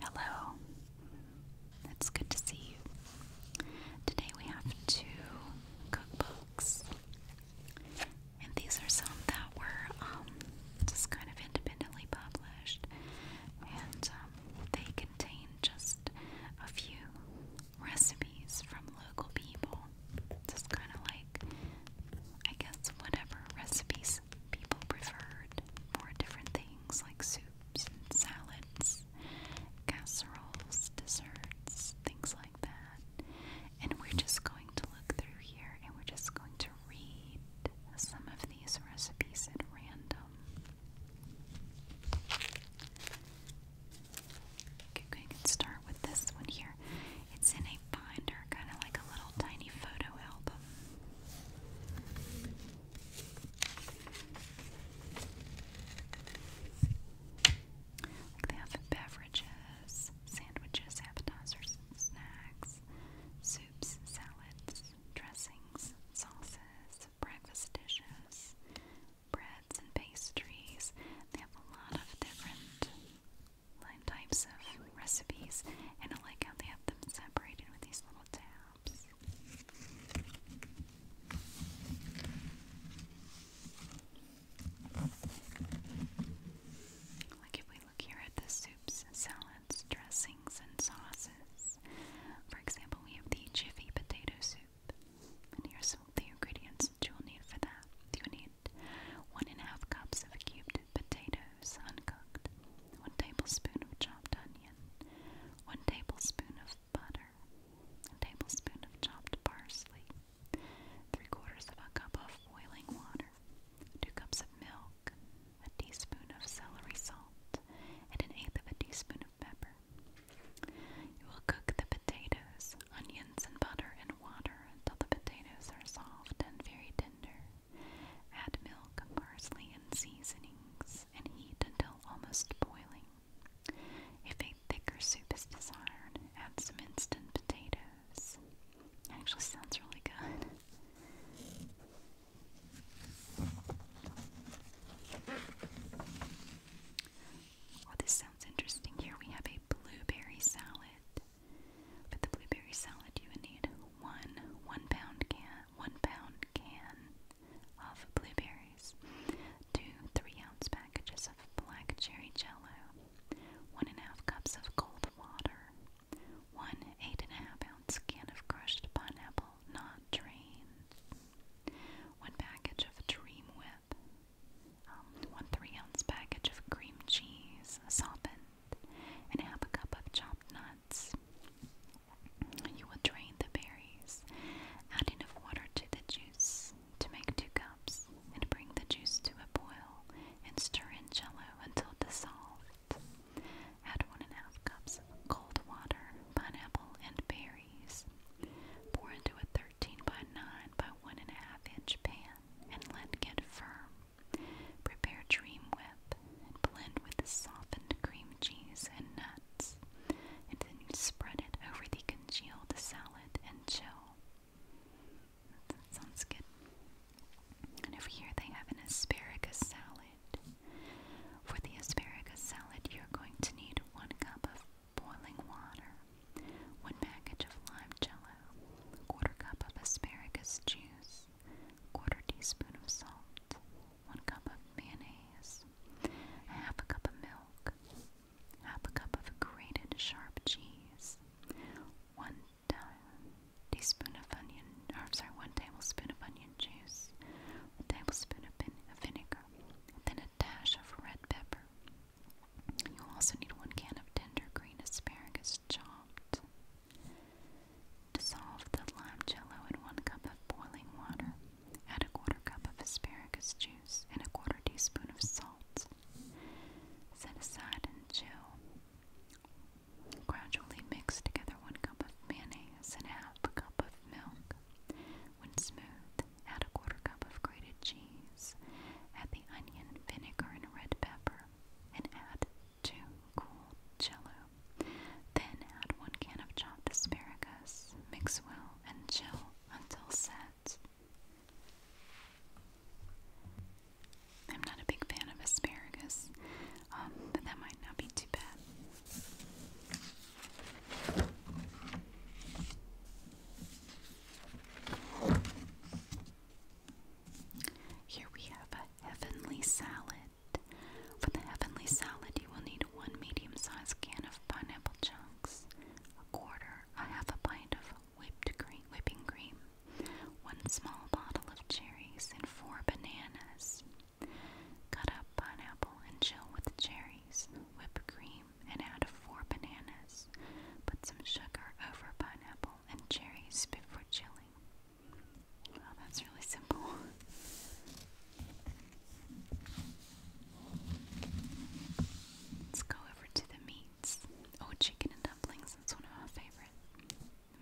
Hello. It's good to see you. Today we have two cookbooks. And these are some that were um, just kind of independently published. And um, they contain just a few recipes from local people. Just kind of like I guess whatever recipes people preferred for different things like soups and salads, casseroles, desserts, things like that. And we're just going to look through here and we're just going to read some of these recipes at random. Okay, can start with this one here. It's in a binder, kind of like a little tiny photo album. Like they have beverages, sandwiches, appetizers, and snacks, soups, salads, dressings, sauces, breakfast dishes, breads and pastries. They have a lot of different types of recipes, and I like how they have them separated with these little tabs. Like if we look here at the soups, salads, dressings, and sauces. For example, we have the Jiffy potato soup. And here's some of the ingredients that you'll need for that. you need one and a half cups of cubed potatoes uncooked, 1 tablespoon of chopped onion, 1 tablespoon of butter, a tablespoon of chopped parsley, 3 quarters of a cup of boiling water, 2 cups of milk, a teaspoon of celery salt, and an eighth of a teaspoon of pepper. You will cook the potatoes, onions, and butter in water until the potatoes are soft and very tender. Add milk, parsley, and seasonings and heat until almost boiling. If a thicker soup is desired, add some instant potatoes. Actually sounds really good. Well, oh, this sounds interesting. Here we have a blueberry salad. With the blueberry salad, you will need one one pound can one pound can of blueberries, two three ounce packages of black cherry jello, one and a half cups of cold water, one eight and a half ounce can of crushed pineapple not drained, one package of dream whip. Um, one three ounce package of cream cheese, softened, and have a cup of chopped nuts. You will drain the berries, add enough water to the juice to make two cups, and bring the juice to a boil and stir in jello until dissolved. Add one and a half cups of cold water, pineapple, and berries. Pour into a 13 by 9 by 1.5 inch pan and let get firm. Prepare Dream Whip and blend with softened cream cheese and nuts, and then spread it over the congealed salad and chill. sounds good. And over here they have an asparagus salad. For the asparagus salad, you're going to need one cup of boiling water, one package of lime jello, a quarter cup of asparagus juice, quarter teaspoon of salt, one cup of mayonnaise, a half a cup of milk, half a cup of grated sharp cheese, one teaspoon of onion, or sorry, one tablespoon of onion juice, a tablespoon of vinegar, and then a dash of red pepper. You'll also need one can of tender green asparagus chopped, Dissolve the lime jello in one cup of boiling water, add a quarter cup of asparagus juice, and a quarter teaspoon of salt. Set aside and chill. Gradually mix together one cup of mayonnaise and half a cup of milk. When smooth, add a quarter cup of grated cheese. Add the onion, vinegar, and red pepper and add two cool jello. Then add one can of chopped asparagus, mix well, and chill until set. I'm not a big fan of asparagus, um, but that might not be too bad. Here we have a heavenly salad. For the heavenly salad, you will need one medium sized can of pineapple chunks, a quarter, a half a pint of whipped cream, whipping cream, one small bottle of cherries, and four bananas. Cut up pineapple and chill with cherries, whipped cream, and add four bananas. Put some sugar over pineapple and cherries before chilling. Wow, that's really simple. Let's go over to the meats. Oh, chicken and dumplings, that's one of my favorite.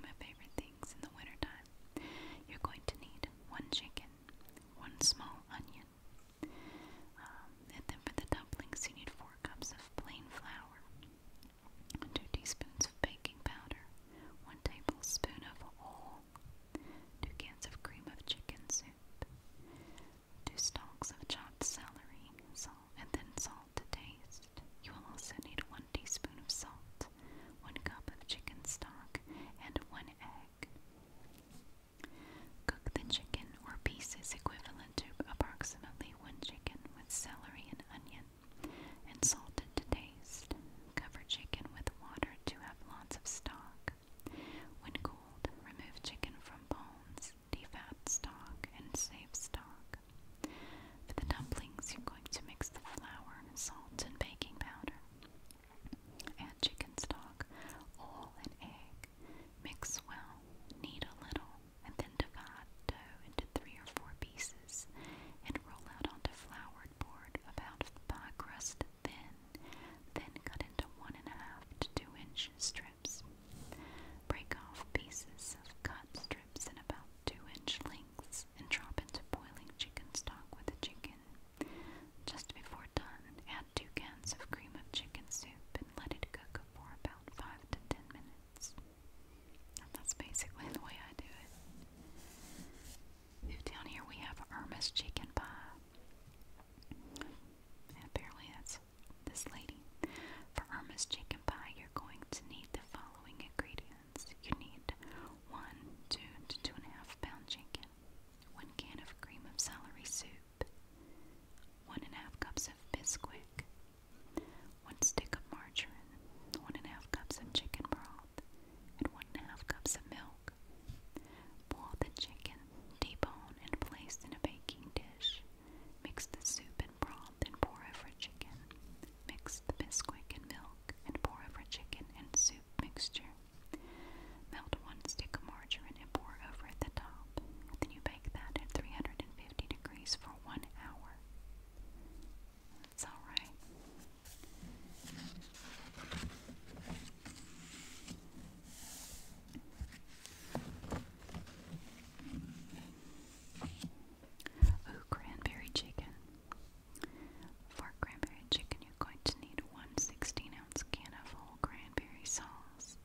My favorite things in the wintertime. You're going to need one chicken, one small onion. Um, and then for the dumplings, you need four cups of plain flour, 2 teaspoons of baking powder, 1 tablespoon of oil, 2 cans of cream of chicken soup, 2 stalks of chopped celery, salt, and then salt to taste. You will also need 1 teaspoon of salt, 1 cup of chicken stock, and 1 egg. Cook the chicken or pieces equivalent to approximately one chicken with celery and onion, and salted to taste. Cover chicken with water to have lots of stock. When cold, remove chicken from bones, defat stock, and save stock. For the dumplings, you're going to mix the flour, salt, and baking powder. Add chicken stock, oil, and egg. Mix well, knead a little, and then divide dough into three or four pieces and roll out onto floured board about pie crust thin, then cut into one and a half to two inch strips. Break off pieces of cut strips in about two inch lengths and drop into boiling chicken stock with the chicken. Just before done, add two cans of cream of chicken soup and let it cook for about five to ten minutes that's basically the way I do it. Down here we have Irma's chicken pie. apparently that's this lady. For Irma's chicken pie, you're going to need the following ingredients. You need one, two to two and a half pound chicken, one can of cream of celery soup, one and a half cups of Bisquick, 1 stick of margarine, one and a half cups of chicken broth, and 1 cups of milk. Boil the chicken, debone, and place in a baking dish. Mix the soup and broth and pour over chicken. Mix the Bisquick and milk and pour over chicken and soup mixture. Melt one stick of margarine and pour over at the top. Then you bake that at 350 degrees for one hour more. That's all right. Ooh, cranberry chicken. For cranberry chicken, you're going to need one 16 ounce can of whole cranberry sauce,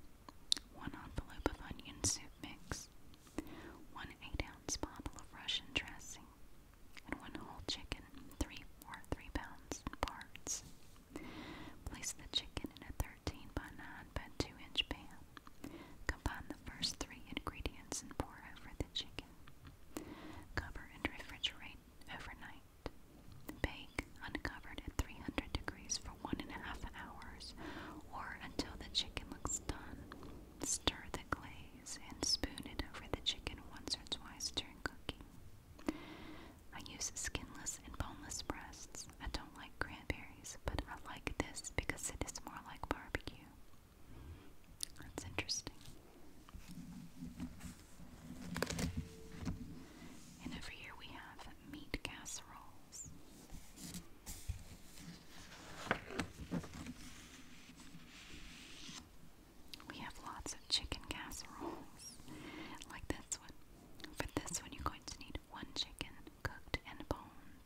one envelope of onion soup mix, one eight ounce bottle of Russian dressing, and one whole chicken, three or three pounds parts. Place the chicken in a 13 by 9 by 2 inch pan. Combine the first three ingredients and pour over the chicken. Cover and refrigerate overnight. Bake uncovered at 300 degrees for one and a half hours or until the chicken looks stir the glaze and spoon it over the chicken once or twice during cooking. I use skinless and boneless breasts. I don't like cranberries, but I like this because it is more like barbecue. That's interesting. And over here we have meat casseroles. We have lots of chicken casseroles, like this one. For this one, you're going to need one chicken cooked and boned,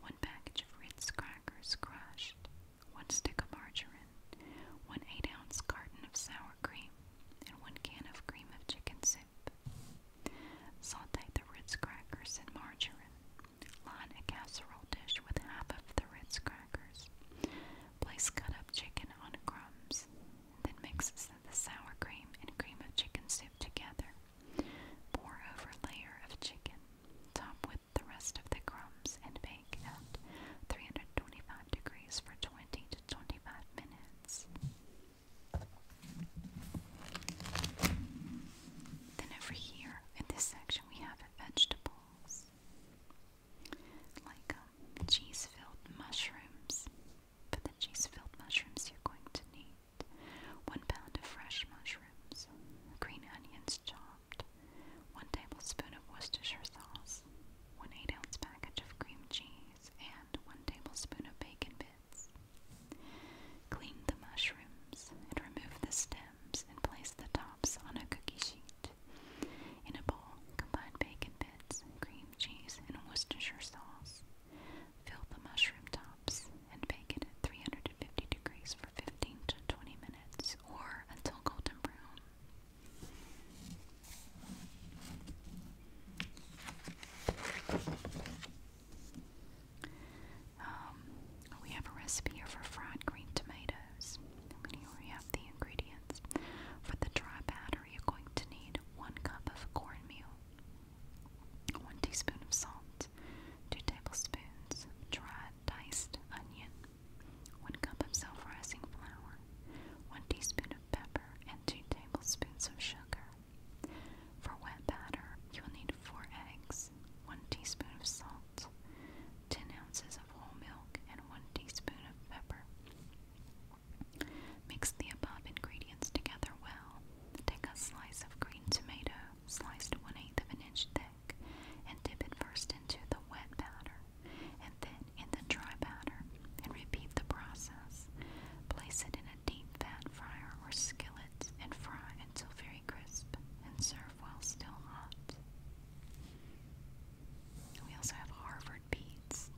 one package of Ritz crackers crushed, one stick of margarine, one 8 ounce carton of sour cream, and one can of cream of chicken soup. Saute the Ritz crackers in margarine. Line a casserole dish with half of the Ritz crackers. Place cut up chicken on crumbs. Then mix the sour cream and cream of chicken soup together. Pour over layer of chicken. Top with the rest of the crumbs and bake at 325 degrees for 20 to 25 minutes. Then over here in this section we have vegetables like um, cheese-filled mushrooms. For the cheese-filled mushrooms you're going to need one pound of fresh mushrooms, green onions chopped, one tablespoon of Worcestershire sauce, one eight-ounce package of cream cheese, and one tablespoon of bacon bits. Clean the mushrooms and remove the stems and place the tops on a cookie sheet. In a bowl, combine bacon bits, cream cheese, and Worcestershire sauce. Fill the mushroom tops and bake at 350 degrees for 15 to 20 minutes or until golden brown. Um, we have a recipe here for fried green tomatoes. here we have the ingredients. For the dry batter, you're going to need one cup of cornmeal, one teaspoon of salt, two tablespoons of dried diced onion, one cup of self-rising flour, one teaspoon of pepper, and two tablespoons of sugar. For wet batter, you will need 4 eggs, 1 teaspoon of salt, 10 ounces of whole milk, and 1 teaspoon of pepper. Mix the above ingredients together well. Take a slice of green tomato, sliced 1 8 of an inch thick, and dip it first into the wet batter and then in the dry batter, and repeat the process. Place it in a deep fat fryer or skillet and fry until very crisp and serve while still hot. We also have Harvard beets.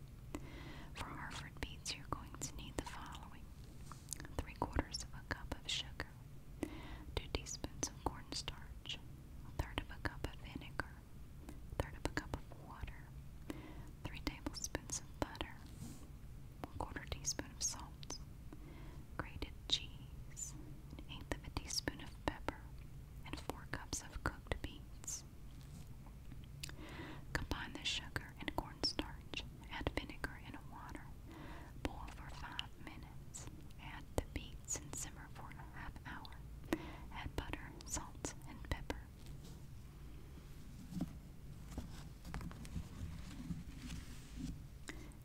For Harvard beets, you're going to need the following. Three quarters of a cup of sugar, two teaspoons of cornstarch, a third of a cup of vinegar, a third of a cup of water, three tablespoons of butter, one quarter teaspoon of salt, grated cheese, an eighth of a teaspoon of pepper, and four cups of cooked beets. Combine the sugar and cornstarch, add vinegar and water, boil for five minutes, add the beets and simmer for a half hour, add butter, salt, and pepper.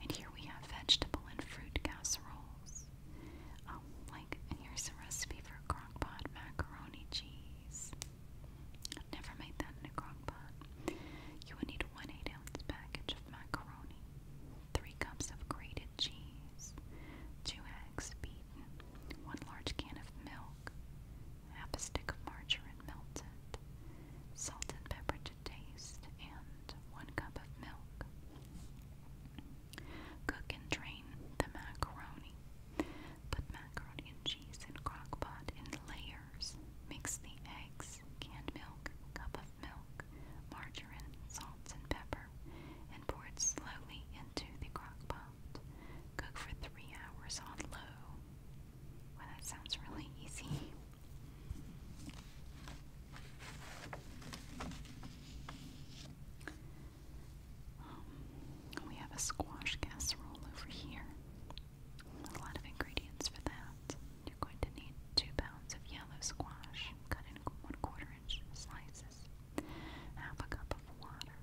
And here we have vegetable and fruit casseroles. Um, like, here's a recipe for crock pot macaroni cheese. never made that in a crock You will need one 8 ounce package of macaroni, 3 cups of grated cheese, 2 eggs beaten, 1 large can of milk, half a stick of margarine melted, salt and pepper to taste, and one cup of milk. Cook and drain the macaroni. Put macaroni cheese in crock in layers. Mix the eggs, canned milk, cup of milk, margarine, salt, and pepper, and pour it slowly into the crock pot. Cook for three hours on low. Well, that sounds really easy. Um, we have a squash casserole over here. A lot of ingredients for that. You're going to need two pounds of yellow squash, cut in one quarter inch slices, half a cup of water,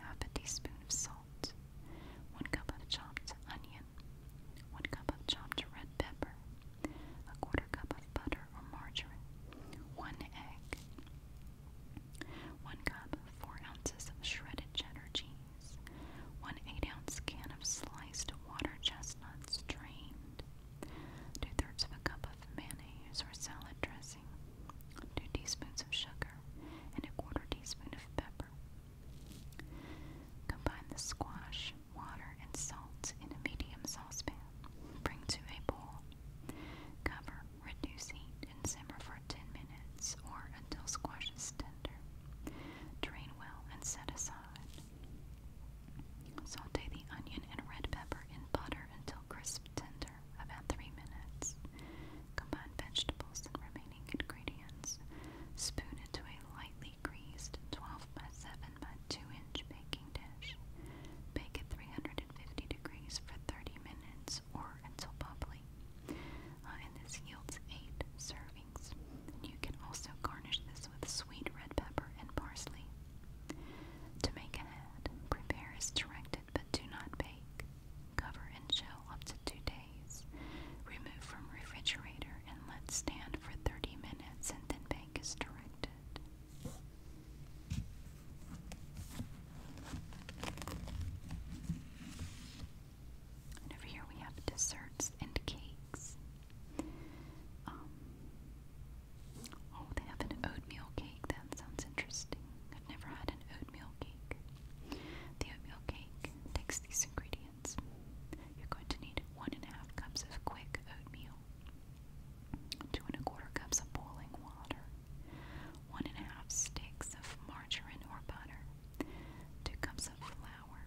half a teaspoon of salt, 1 cup of chopped onion, 1 cup of chopped red pepper, a quarter cup of butter or margarine, 1 egg, 1 cup, 4 ounces of shredded cheddar cheese, 1 8 ounce can of sliced water chestnuts drained, 2 thirds of a cup of mayonnaise or salad dressing, 2 teaspoons of sugar, and a quarter teaspoon of pepper. Combine the squash, water, and salt in a medium saucepan. Bring to a boil. Cover, reduce heat, and simmer for 10 minutes or until squash is tender. Drain well and set aside. Saute the onion and red pepper in butter until crisp tender, about 3 minutes. Combine vegetables and remaining ingredients. Spoon into a lightly greased 12 by 7 by 2 inch baking dish. Bake at 350 degrees for 30 minutes or until bubbly. Uh, and this yields 8 servings. And you can also garnish this with sweet red pepper and parsley. To make a hat, prepare as directed but do not bake. Cover and chill up to two days. Remove from refrigerator and let stand for 30 minutes and then bake as directed. over here we have desserts and cakes. Um, oh, they have an oatmeal cake. That sounds interesting. I've never had an oatmeal cake. The oatmeal cake takes these ingredients. You're going to need one and a half cups of quick oatmeal, two and a quarter cups of boiling water, one and a half sticks of margarine or butter, two cups of flour,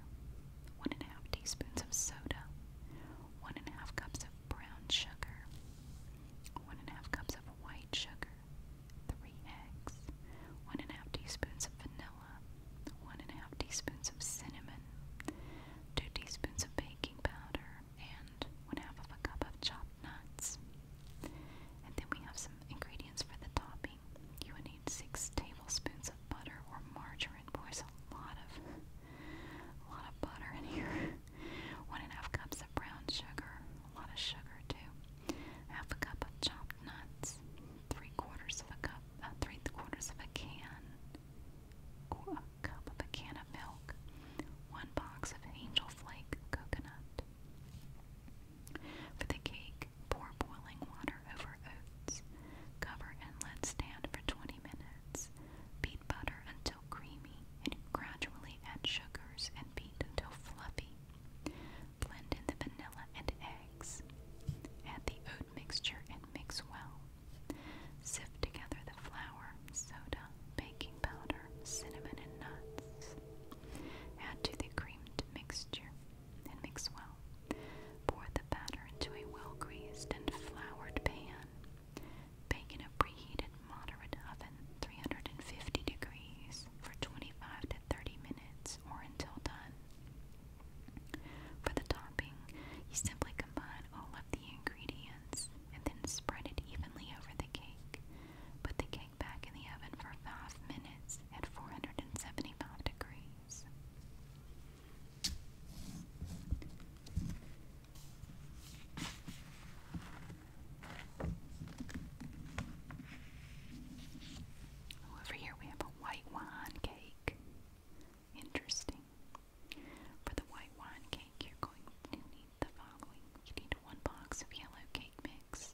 one and a half teaspoons of soda, one and a half cups of brown sugar, one and a half cups of white sugar, three eggs, one and a half teaspoons of vanilla, one and a half teaspoons of cinnamon, two teaspoons of baking powder, and one half of a cup of chopped nuts. And then we have some ingredients for the topping. You would need six tablespoons of butter or margarine. Boy, there's a lot of a lot of butter in here. One and a half cups of brown sugar, a lot of sugar too half a cup of chopped nuts, three quarters of a cup, uh, three quarters of a can, a cup of a can of milk, one box of angel flake coconut. For the cake, pour boiling water over oats, cover and let stand for 20 minutes. Beat butter until creamy and gradually add sugars and beat until fluffy. Blend in the vanilla and eggs. Add the oat mixture and mix well. Sift together the flour, soda, baking powder, cinnamon, and nuts. Add to the creamed mixture and mix well. Pour the batter into a well greased and floured pan. Bake in a preheated moderate oven, 350 degrees, for 25 to 30 minutes or until done. For the topping, you simply combine all of the ingredients and then spread it evenly over the cake. Put the cake back in the oven for 5 minutes at 475 degrees. Over here we have a white wine cake. Interesting. For the white wine cake, you're going to need the following. You need one box of yellow cake mix,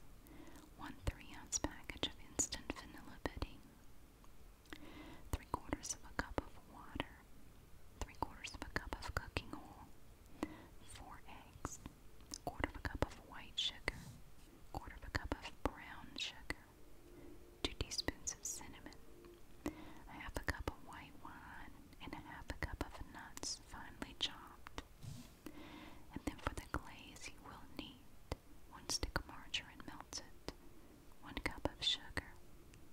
one three-ounce package of instant vanilla pudding, three quarters of a cup of water, three quarters of a cup of cooking oil, four eggs, a quarter of a cup of white sugar, quarter of a cup of brown sugar, two teaspoons of cinnamon, a half a cup of white wine, and a half a cup of nuts finely chopped. And then for the glaze, you will need one stick of margarine it, one cup of sugar,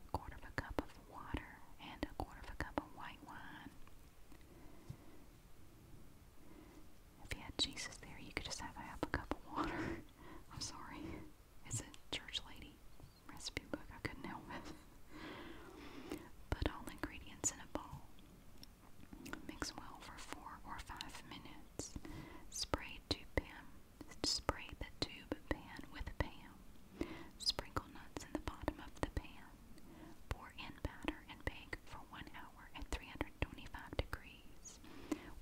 a quarter of a cup of water, and a quarter of a cup of white wine. If you had Jesus there, you could just have a cup of water. I'm sorry. It's a church lady recipe book. I couldn't help it. Put all ingredients in a bowl. Mix well for four or five minutes. Spray tube pan. Spray the tube pan with a Sprinkle nuts in the bottom of the pan. Pour in batter and bake for one hour at 325 degrees.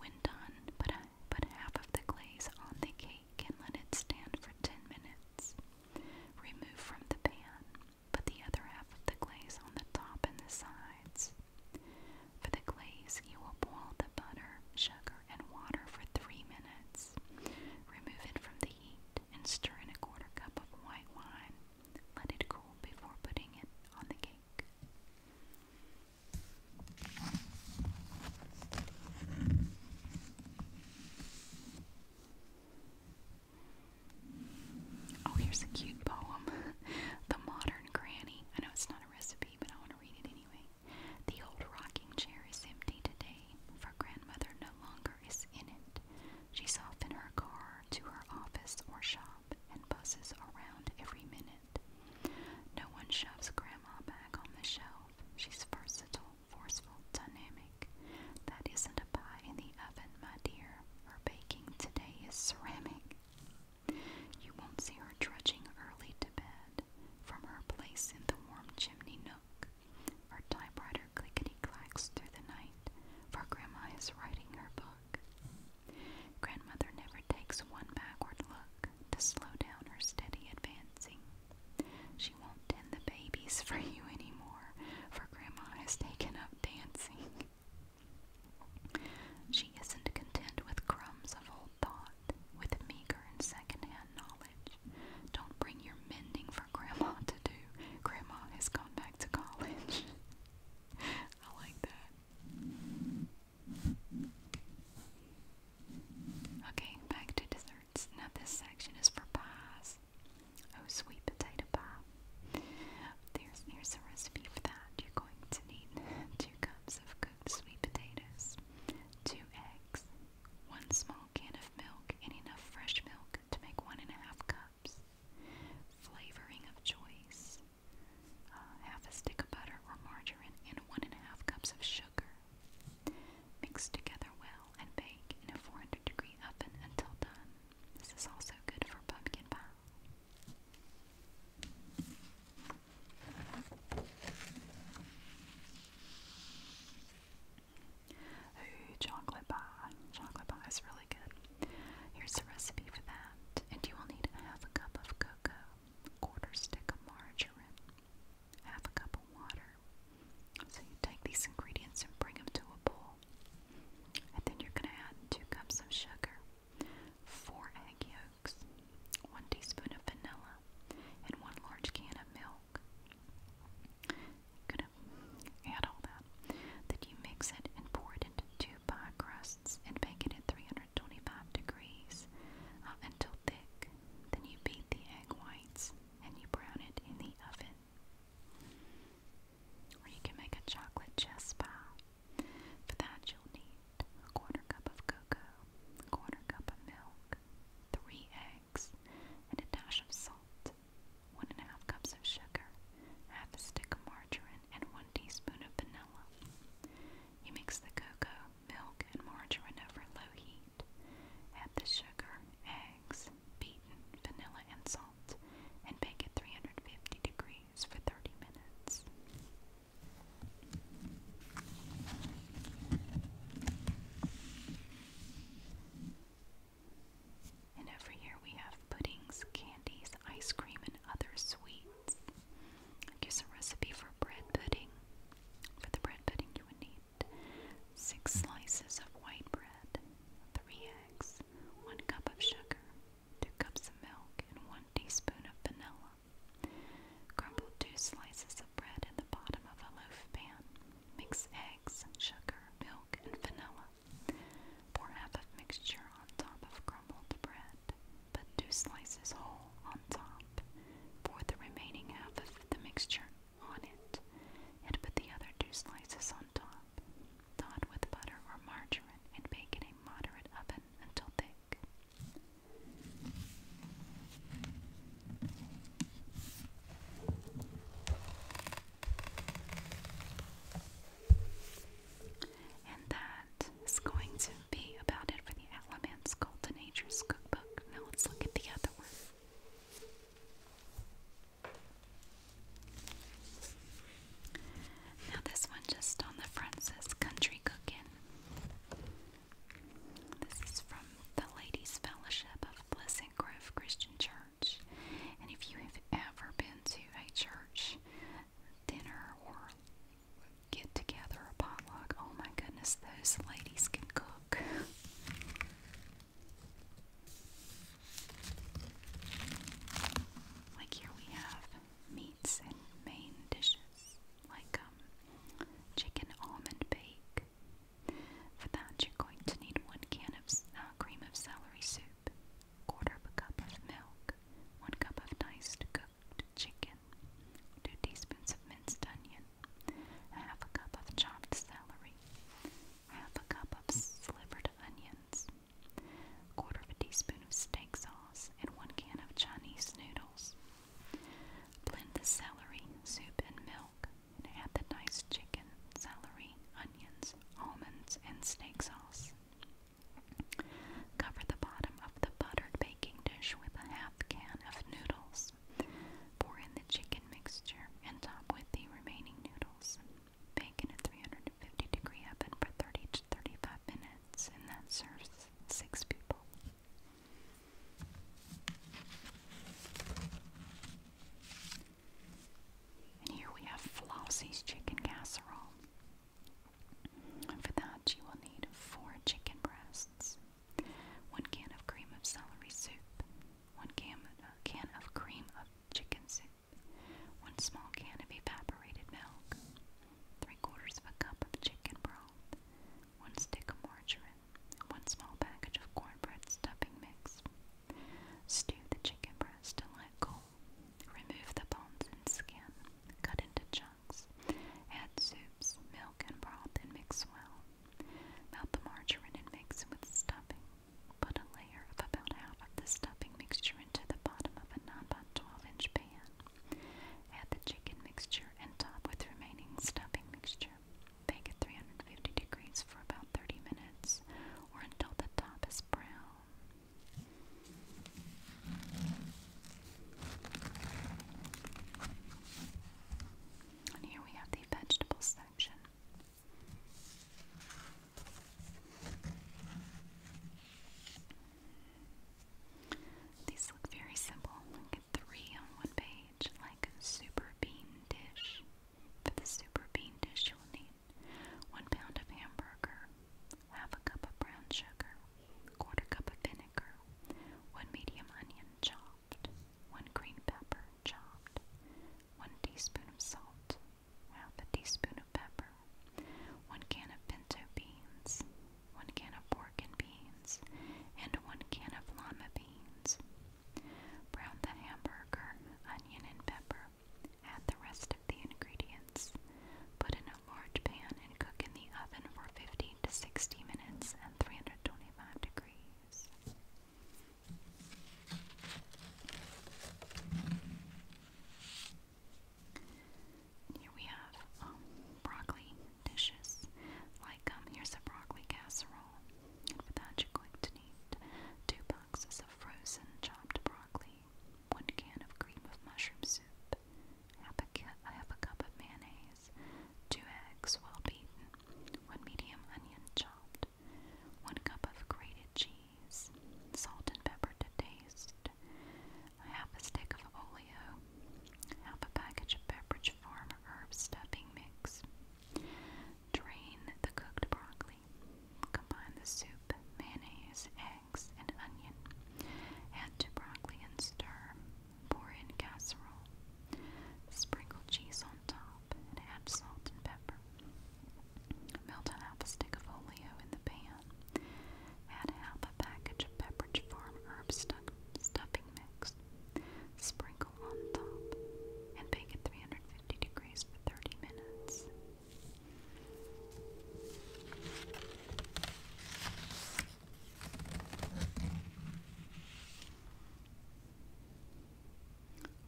When done, put, put half of the glaze on the cake and let it stand for 10 minutes. Remove from the pan. Put the other half of the glaze on the top and the sides. For the glaze, you will boil the butter, sugar, and water for three minutes. Remove it from the heat and stir in a quarter cup of white wine. Let it cool before putting it on the cake. Oh, here's a cute poem The Modern Granny. I know it's not a recipe, but I want to read it anyway. The old rocking chair is empty today, for grandmother no longer is in it. She's off in her car to her office or shop and buses around every minute. No one shoves Grandma back on the shelf. She's versatile, forceful, dynamic. That isn't a pie in the oven, my dear. Her baking today is ceramic. You won't see her drudging early to bed from her place in the warm chimney nook. Her typewriter clickety clacks through the night, for Grandma is writing her book. Grandmother never takes one backward look to slow down her steady advancing. She won't tend the babies for you anymore, for Grandma has taken up dancing. She isn't content with crumbs of old thought, with meager and second-hand knowledge. Don't bring your mending for Grandma to do. Grandma has gone back to college. I like that. Okay, back to desserts. Now, this section is for pies. Oh, sweet potato pie. There's, here's a recipe for that. You're going to need two cups of cooked sweet potatoes, two eggs, one small can of milk, and enough fresh milk to make one and a half cups flavoring of choice, uh, half a stick of butter or margarine, and one and a half cups of sugar. Mix together well and bake in a 400 degree oven until done. This is also good for pumpkin pie. Ooh, chocolate bar? Chocolate bar is really Here's the recipe for that. And you will need a half a cup of cocoa, quarter stick of margarine, half a cup of water. So you take these ingredients and bring them to a bowl. And then you're going to add two cups of sugar, four egg yolks, one teaspoon of vanilla, and one large can of milk. going to add all that then you mix it and pour it into two pie crusts and bake it at 325 degrees uh, until thick. Then you beat the egg whites and you brown it in the oven. Or you can make a chocolate chess pie. For that, you'll need a quarter cup of cocoa, a quarter cup of milk, three eggs, and a dash of salt one and a half cups of sugar, half a stick of margarine, and one teaspoon of vanilla. You mix the cocoa, milk, and margarine over low heat. Add the sugar, eggs, beaten vanilla, and salt, and bake at 350 degrees for 30 minutes. And every year we have puddings, candies, ice cream, and other sweets. Here's a recipe for bread pudding. For the bread pudding, you would need six slices of white bread, three eggs, one cup of sugar, two cups of milk, and one teaspoon of vanilla. Crumble two slices of bread in the bottom of a loaf pan. Mix eggs, sugar, milk, and vanilla. Pour half of mixture on top of crumbled bread, put two slices whole on top. Pour the remaining half of the mixture on it, and put the other two slices on top. Dot with butter or margarine and bake in a moderate oven until thick. And that is going to be about it for the Elements Gold Nature's cookbook. Now let's look at the other one. Now this one just on the front says Country Cookin'. This is from the Ladies Fellowship of Pleasant Grove Christian Church. And if you have ever been to a church dinner or get together, a potluck, oh my goodness, those ladies can cook. like here we have meats and main dishes, like um, chicken almond bake. For that, you're going to need one can of uh, cream of celery soup, quarter of a cup of milk, 1 cup of diced cooked chicken, 2 teaspoons of minced onion, half a cup of chopped celery, half a cup of slivered onions, quarter of a teaspoon of steak sauce, and 1 can of Chinese noodles. Blend the celery, soup, and milk, and add the diced chicken, celery, onions, almonds, and steak sauce. Cover the bottom of the buttered baking dish with a half can of noodles. Pour in the chicken mixture and top with the remaining noodles. Bake in a 350 degree oven for 30 to 35 minutes, and that serves six people. And here we have Flossie's chicken casserole. For that, you will need four chicken breasts, one can of cream of celery soup, one can, uh, can of cream of chicken soup, one small can of evaporated milk, three quarters of a cup of chicken broth, one stick of margarine, one small package of cornbread stuffing mix, Stew the chicken breast and let cold. Remove the bones and skin. Cut into chunks. Add soups, milk, and broth and mix well. Melt the margarine and mix with stuffing. Put a layer of about half of the stuffing mixture into the bottom of a 9 by 12 inch pan. Add the chicken mixture and top with remaining stuffing mixture. Bake at 350 degrees for about 30 minutes or until the top is brown here we have the vegetable section. These look very simple. You get three on one page, like a super bean dish. For the super bean dish, you will need 1 pound of hamburger, half a cup of brown sugar, quarter cup of vinegar, 1 medium onion chopped, 1 green pepper chopped, 1 teaspoon of salt, half a teaspoon of pepper, 1 can of pinto beans, 1 can of pork and beans, and 1 can of lima beans. Brown the hamburger, onion, and pepper Add the rest of the ingredients. Put in a large pan and cook in the oven for 15 to 60 minutes at 325 degrees. Here we have um, broccoli dishes. Like, um, here's a broccoli casserole. for that, you're going to need two boxes of frozen chopped broccoli, one can of cream of mushroom soup, half a, cu half a cup of mayonnaise, two eggs well beaten, one medium onion chopped, one cup of grated cheese, salt and pepper to taste, half a stick of oleo, half a package of Pepperidge Farm herb stuffing mix. Drain the cooked broccoli Combine the soup, mayonnaise, eggs, and onion. Add to broccoli and stir. Pour in casserole. Sprinkle cheese on top and add salt and pepper. Melt half a stick of oleo in the pan. Add half a package of Pepperidge Farm herb stuffing mix. Sprinkle on top and bake at 350 degrees for 30 minutes.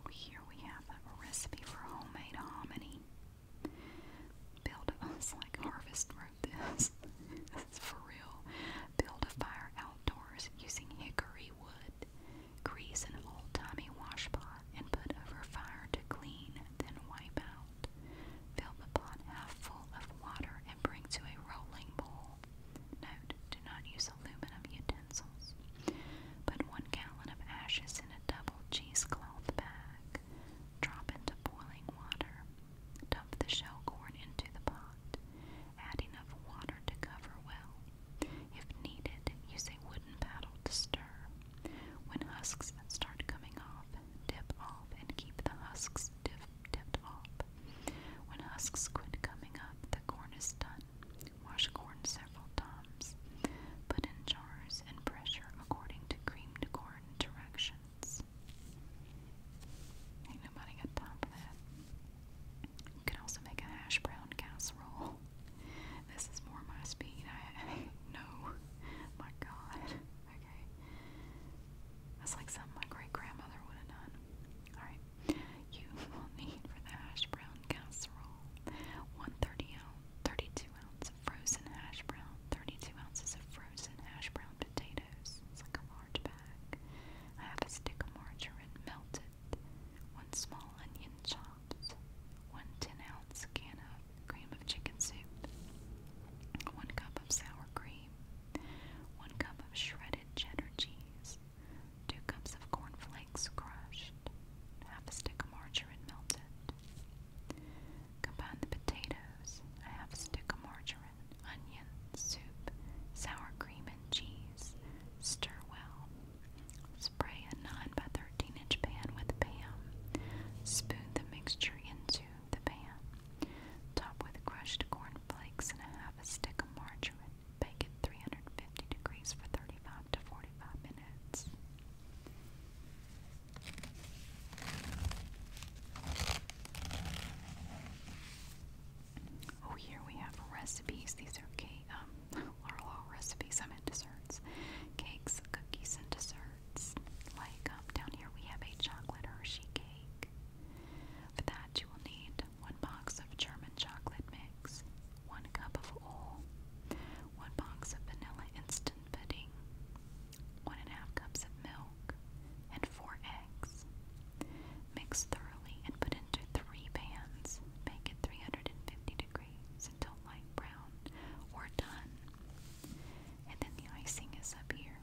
Here we have a recipe for homemade hominy. Build a, it's like Harvest wrote this. this is for real. Build a fire outdoors using hickory wood. Grease an old-timey washpot and put over fire to clean, then wipe out. Fill the pot half full of water and bring to a rolling boil. Note, do not use aluminum utensils. Put one gallon of ashes in a double cheesecloth bag. Drop into boiling water. Dump the shell corn into the pot. Add enough water to cover well. If needed, use a wooden paddle to stir. When husks start coming off, dip off and keep the husks dip, dipped off. When husks quit coming up, the corn is done. Wash corn several times. Put in jars and pressure according to creamed corn directions. Ain't nobody got time for that. You can also make a hash brown casserole. This is more my speed. no. My God. Okay. That's like something my great grandmother would have done. Alright. You for the hash brown casserole. One thirty ounce thirty-two ounce of frozen hash brown. Thirty-two ounces of frozen hash brown potatoes. It's like a large bag. I have a stick of margarine melted. 1 small onion chopped. 1 10 ounce can of cream of chicken soup, 1 cup of sour cream, 1 cup of shredded cheddar cheese, 2 cups of cornflakes crushed, half a stick of margarine melted. Combine the potatoes, half a stick of margarine, onion, soup, sour cream, and cheese. Stir well. Spray a 9 by 13 inch pan with PAM. Spoon the mixture into the pan. Top with crushed corn flakes and a half a stick of margarine. Bake at 350 degrees for 35 to 45 minutes. Oh, here we have recipes. These are K um, Laurel recipes. I meant desserts, cakes, cookies, and desserts. Like um, down here, we have a chocolate Hershey cake. For that, you will need one box of German chocolate mix, one cup of oil, one box of vanilla instant pudding, one and a half cups of milk, and four eggs. Mix thoroughly and put into three pans. Bake at 350 degrees browns until light brown or done. And then the icing is up here.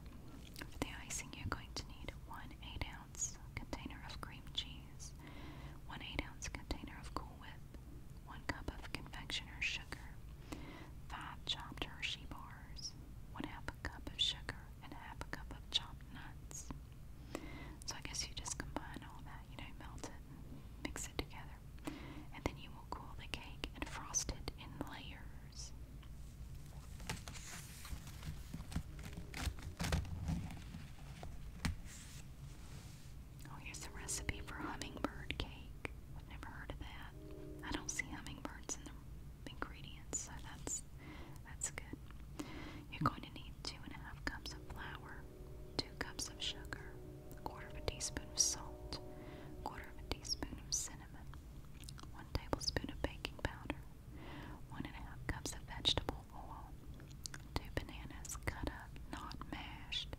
For the icing, you're going to need one 8 ounce container of cream cheese, one 8 ounce container of Cool Whip, one cup of confectioner's sugar, five chopped Hershey bars, one half a cup of sugar, and half a cup of chopped nuts. So I guess you just combine all that, you know, melt it and mix it together and then you will cool the cake and frost it in layers. Oh, here's the recipe for hummingbird cake. I've never heard of that. I don't see hummingbirds in the ingredients, so that's that's good. You're going to need two and a half cups of flour, two cups of sugar, a quarter of a teaspoon of salt, a quarter of a teaspoon of cinnamon, one tablespoon of baking powder, one and a half cups of vegetable oil, two bananas cut up, not mashed,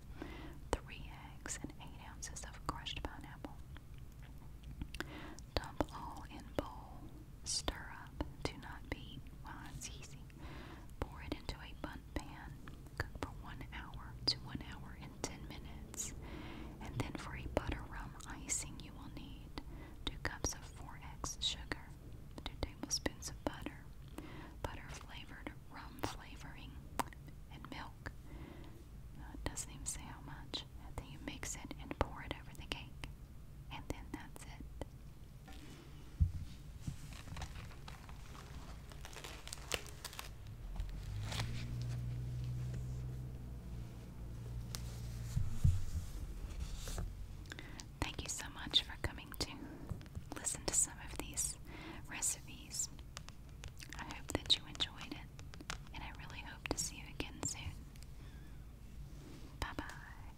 three eggs, and eight ounces of crushed pineapple. Dump all in bowl, stir up, do not beat while it's easy. Pour it into a bun pan. Cook for one hour to one hour and ten minutes. And then for a butter rum icing, you will need two cups of 4x sugar, two tablespoons of butter, butter flavored rum flavoring, and milk. Uh, it doesn't even say how much. then you mix it and pour it over the cake. And then that's it. Thank you so much for coming to listen to some of these recipes. I hope that you enjoyed it, and I really hope to see you again soon. Bye bye.